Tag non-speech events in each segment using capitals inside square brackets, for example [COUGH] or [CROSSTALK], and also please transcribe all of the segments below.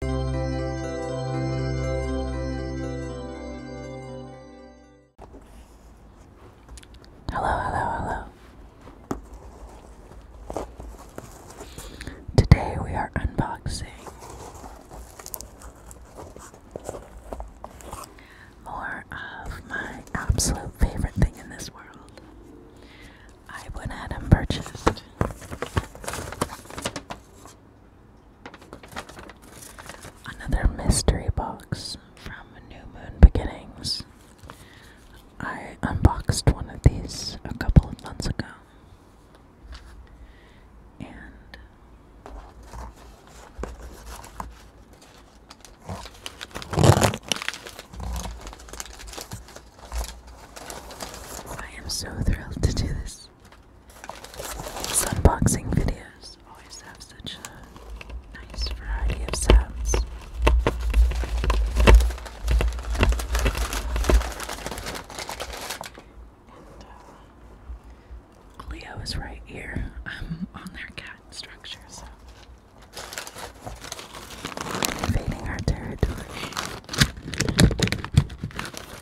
Hello, hello, hello. Today we are unboxing more of my absolute favorite thing in this world. I went ahead and purchased Another mystery box from New Moon Beginnings. I unboxed one of these a couple of months ago. And I am so thrilled to do this videos. unboxing videos always have such a nice variety of sounds. And uh, is right here [LAUGHS] um, on their cat structure, so invading our territory.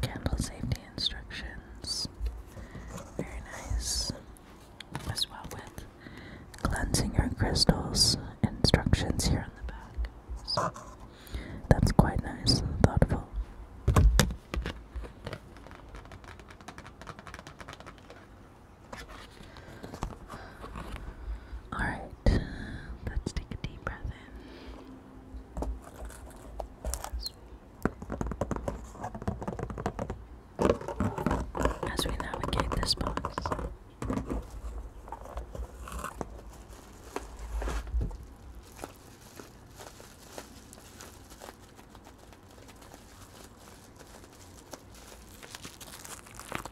Candle safety instructions. Very nice. As well with cleansing your crystals instructions here on the back. that's quite nice and thoughtful. Alright, let's take a deep breath in. As we navigate this box,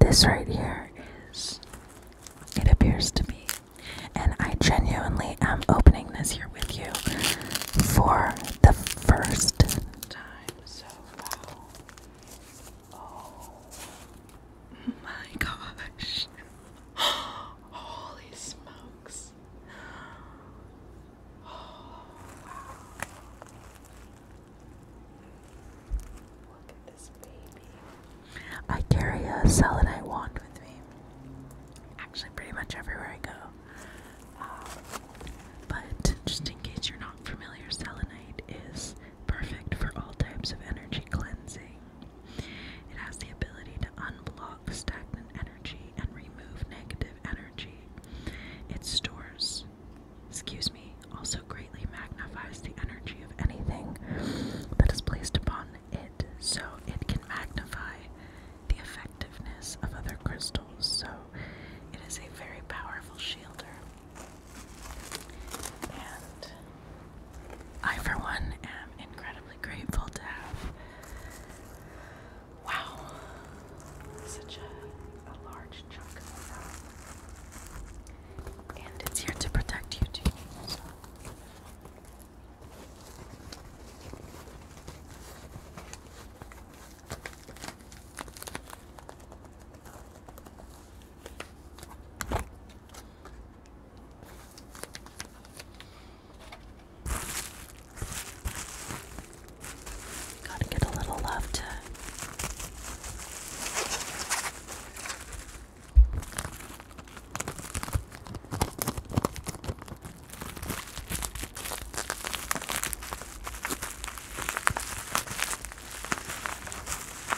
This right here is, it appears to be, and I genuinely am opening this here with you for the first time. So, wow. Oh my gosh. [GASPS] Holy smokes. wow. [GASPS] Look at this baby. I carry a selenite wand with me. Actually, pretty much everywhere I go. Um, but just in case you're not familiar, selenite is perfect for all types of energy cleansing. It has the ability to unblock stagnant energy and remove negative energy. It stores, excuse me, also greatly magnifies the energy of anything that is placed upon it, so it can magnify the effectiveness of other crystals. So it is a very powerful shielder. I, for one, am incredibly grateful to have. Wow, such a, large chunk of that. And it's here to protect you too. Gotta get a little love to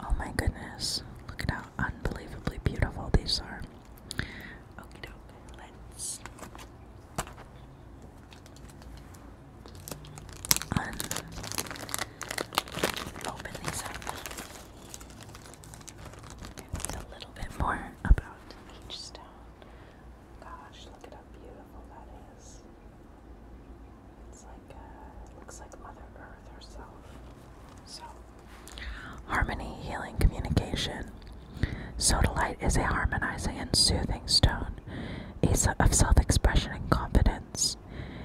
Oh my goodness, look at how unbelievably beautiful these are. Okie dokie, let's. open these up. Okay, a little bit more about each stone. Gosh, look at how beautiful that is. It's uh, like, Mother Earth herself. So, harmony, healing, communication. Sodalite is a harmonizing and soothing stone, a of self expression and confidence.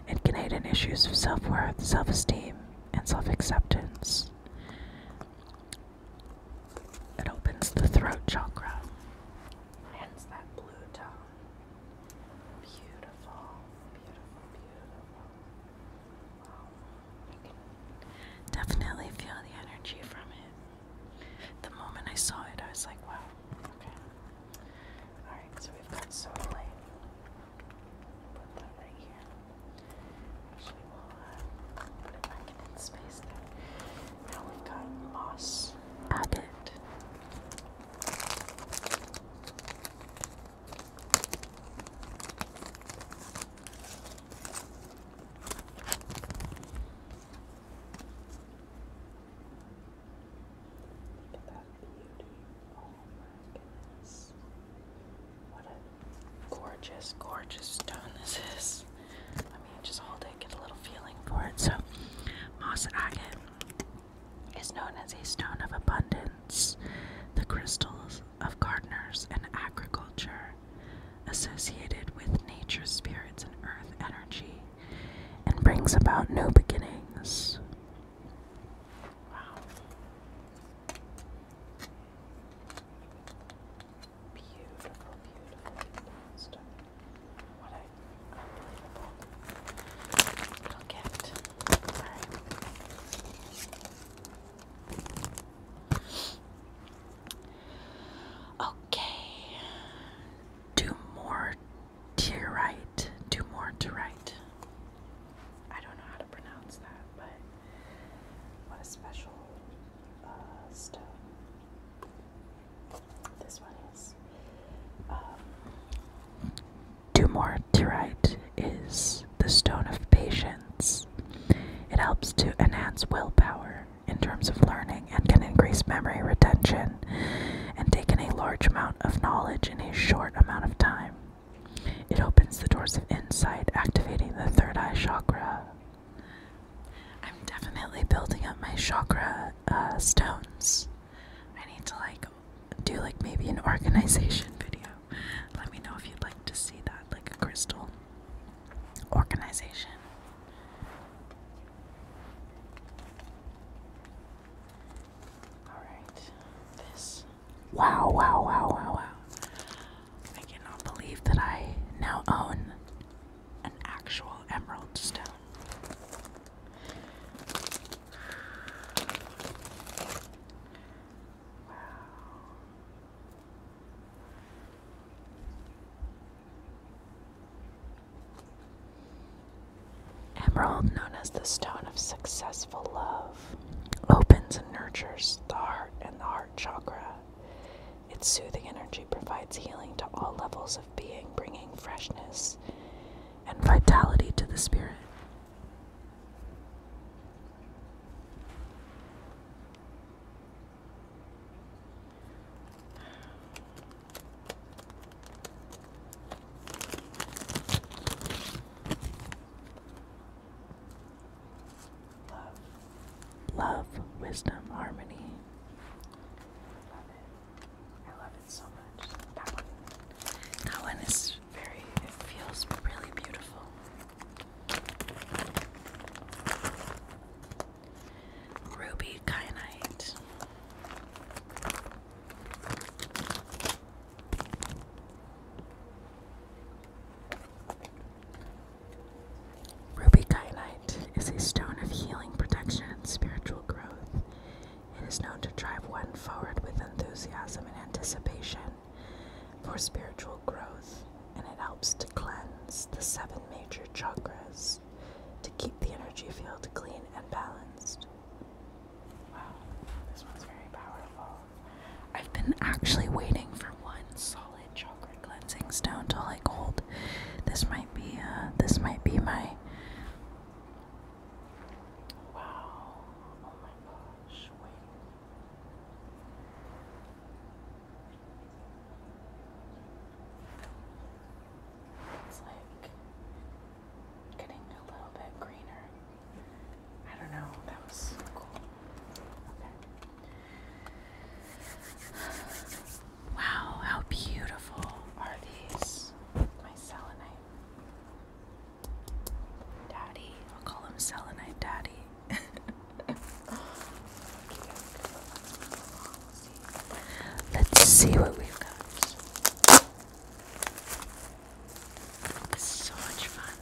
It can issues of self worth, self esteem, and self acceptance. It opens the throat chakra. Hence that blue tone. Beautiful, beautiful, beautiful. definitely feel the energy from it. The moment I saw it, I was like, wow, okay. Alright, so we've got soda Put that right here. Actually, we'll uh, put it back in its space Now we've got moss. Abbott. Look oh gorgeous, gorgeous stone this is. Let me just hold it, get a little feeling for it. So, moss agate is known as a stone of abundance. The crystals of gardeners and agriculture, associated with nature, spirits, and earth energy, and brings about new beginnings. Wow beautiful, beautiful Okay. Do more to right. Do more to right. I don't know how to pronounce that, but what a special uh, stone. Do um, more to write is the Stone of Patience. It helps to enhance willpower in terms of learning and can increase memory retention and take in a large amount of knowledge in a short amount of time. It opens the doors of insight, activating the third eye chakra, I'm definitely building up my chakra uh, stones. I need to like do like maybe an organization [LAUGHS] video. Let me know if you'd like to see that, like a crystal organization. Alright, this. Wow, wow, wow, wow, wow. I cannot believe that I now own an actual emerald stone. Wow. Emerald, known as the stone of successful love, opens and nurtures the heart and the heart chakra. Its soothing energy provides healing to all levels of being, bringing freshness and vitality to the spirit. Love, wisdom, harmony. I love it. so much. That one. is very, it feels really beautiful. Ruby kyanite. Ruby Kyanite is a stone of healing, protection, and spiritual growth. It is known to drive one forward with enthusiasm and anticipation for spiritual growth, and it helps to cleanse the seven major chakras to keep the energy field clean and balanced. Wow, this one's very powerful. I've been actually waiting for one so solid chakra cleansing stone to like gold. This might be uh this might be my Wow. Oh my gosh, wait. It's like getting a little bit greener. I don't know, that was cool. Okay. Wow, how beautiful are these? My selenite. Daddy. I'll call him selenite daddy. [LAUGHS] Let's see what we've got. This is so much fun.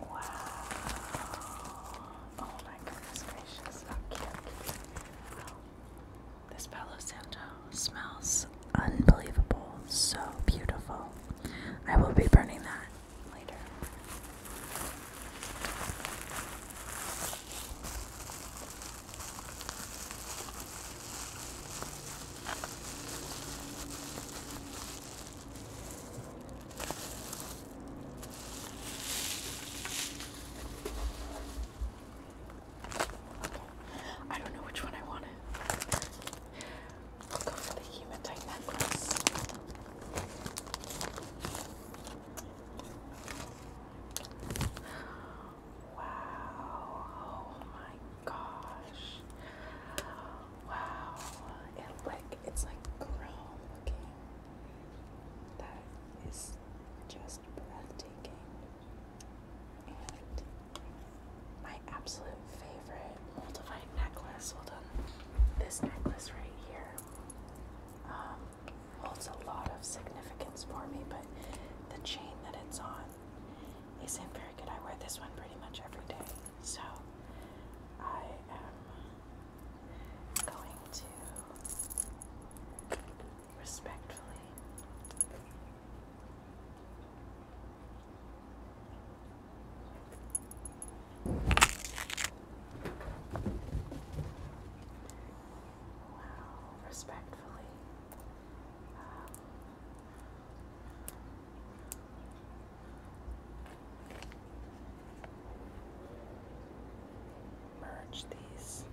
Wow. Oh my goodness gracious. Okay, okay. This Palo Santo smells unbelievable. So beautiful. I will be burning that later. I don't know which one I want. i go for the hematite necklace. Wow. Oh my gosh. Wow. It like it's like chrome looking. That is just breathtaking. And my absolute favorite multivite necklace. Hold on. This necklace right here um, holds a lot of significance for me, but the chain that it's on they seem very good. I wear this one pretty much every day. So I am going to respectfully Wow, respectfully um, merge these. Yes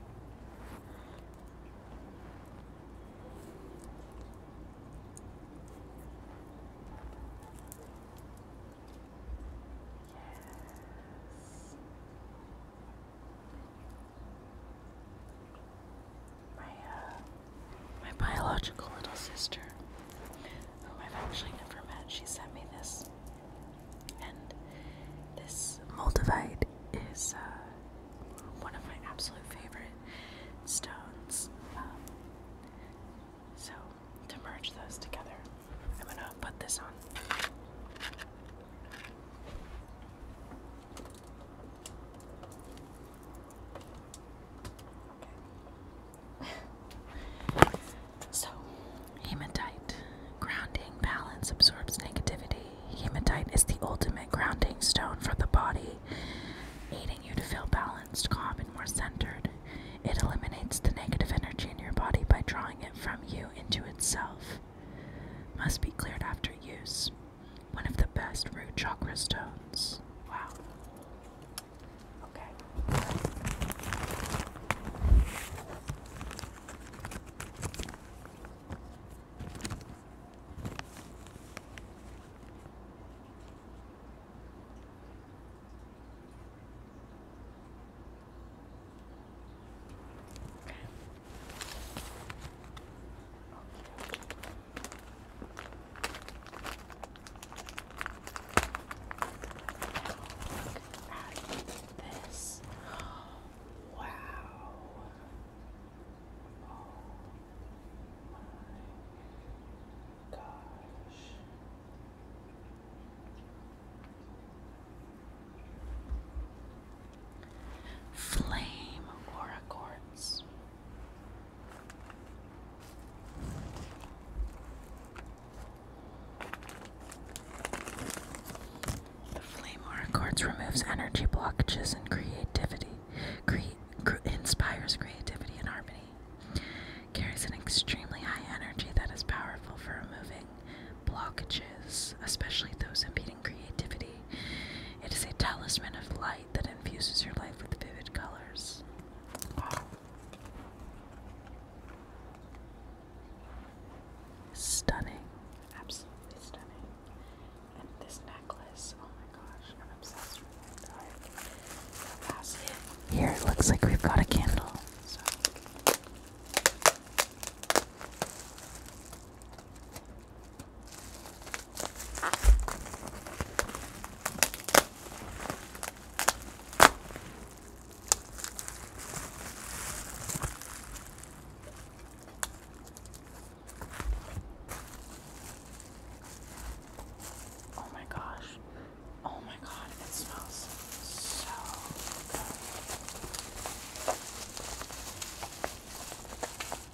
my uh, my biological little sister, whom I've actually never met, she sent me this, and this moldavite is uh, one of my absolute favorite stones. Um, so to merge those together, I'm gonna put this on. [LAUGHS] So, hematite. Grounding balance absorbs negativity. Hematite is the ultimate grounding stone for the body, aiding you to feel balanced, calm, and more centered. It eliminates the negative energy in your body by drawing it from you into itself. Must be cleared after use. One of the best root chakra stones. Wow. Okay. Okay at this. Wow. Oh my gosh. Flame Oracords. The Flame Oracords removes energy blockages and creativity, cre inspires creativity and harmony. Carries an extremely high energy that is powerful for removing blockages, especially those impeding creativity. It is a talisman of light that infuses your life with vivid colors. Stunning. Absolutely stunning. And this necklace, oh my gosh, I'm obsessed with it. Here it looks like we've got a candle. Oh my gosh. Oh my god, it smells so good. It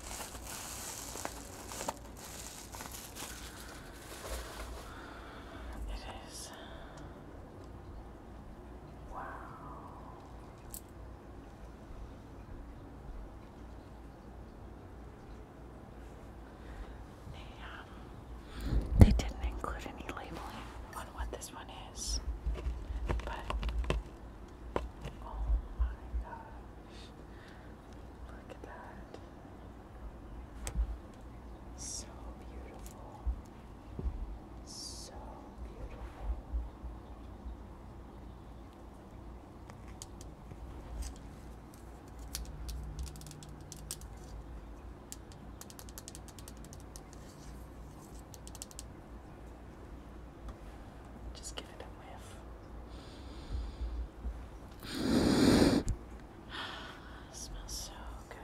is. Wow. They, didn't include any labeling on what this one is, but Oh my gosh. Look at that. So beautiful. So beautiful. Just give it a whiff. [SIGHS] smells so good.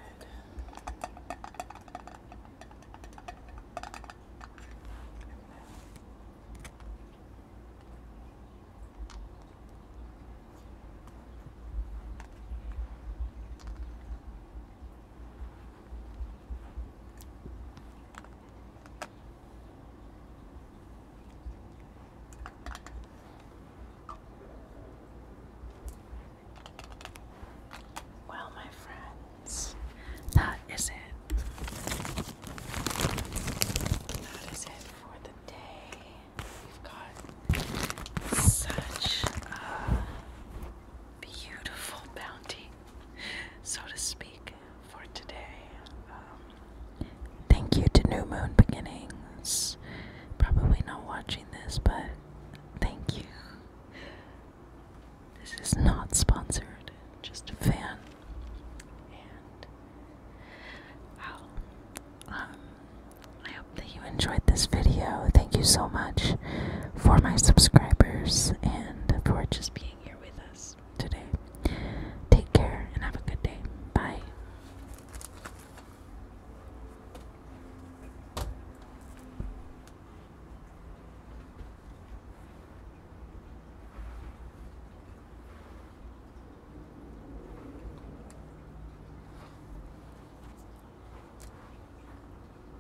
Well, my friends, that is it. That is it for the day. We've got such a beautiful bounty, so to speak week for today. Um, thank you to New Moon Beginnings. Probably not watching this, but thank you. This is not sponsored, just a fan. And um, I hope that you enjoyed this video. Thank you so much for my subscribers and for just being here with us today. Take care and have a good day. Bye.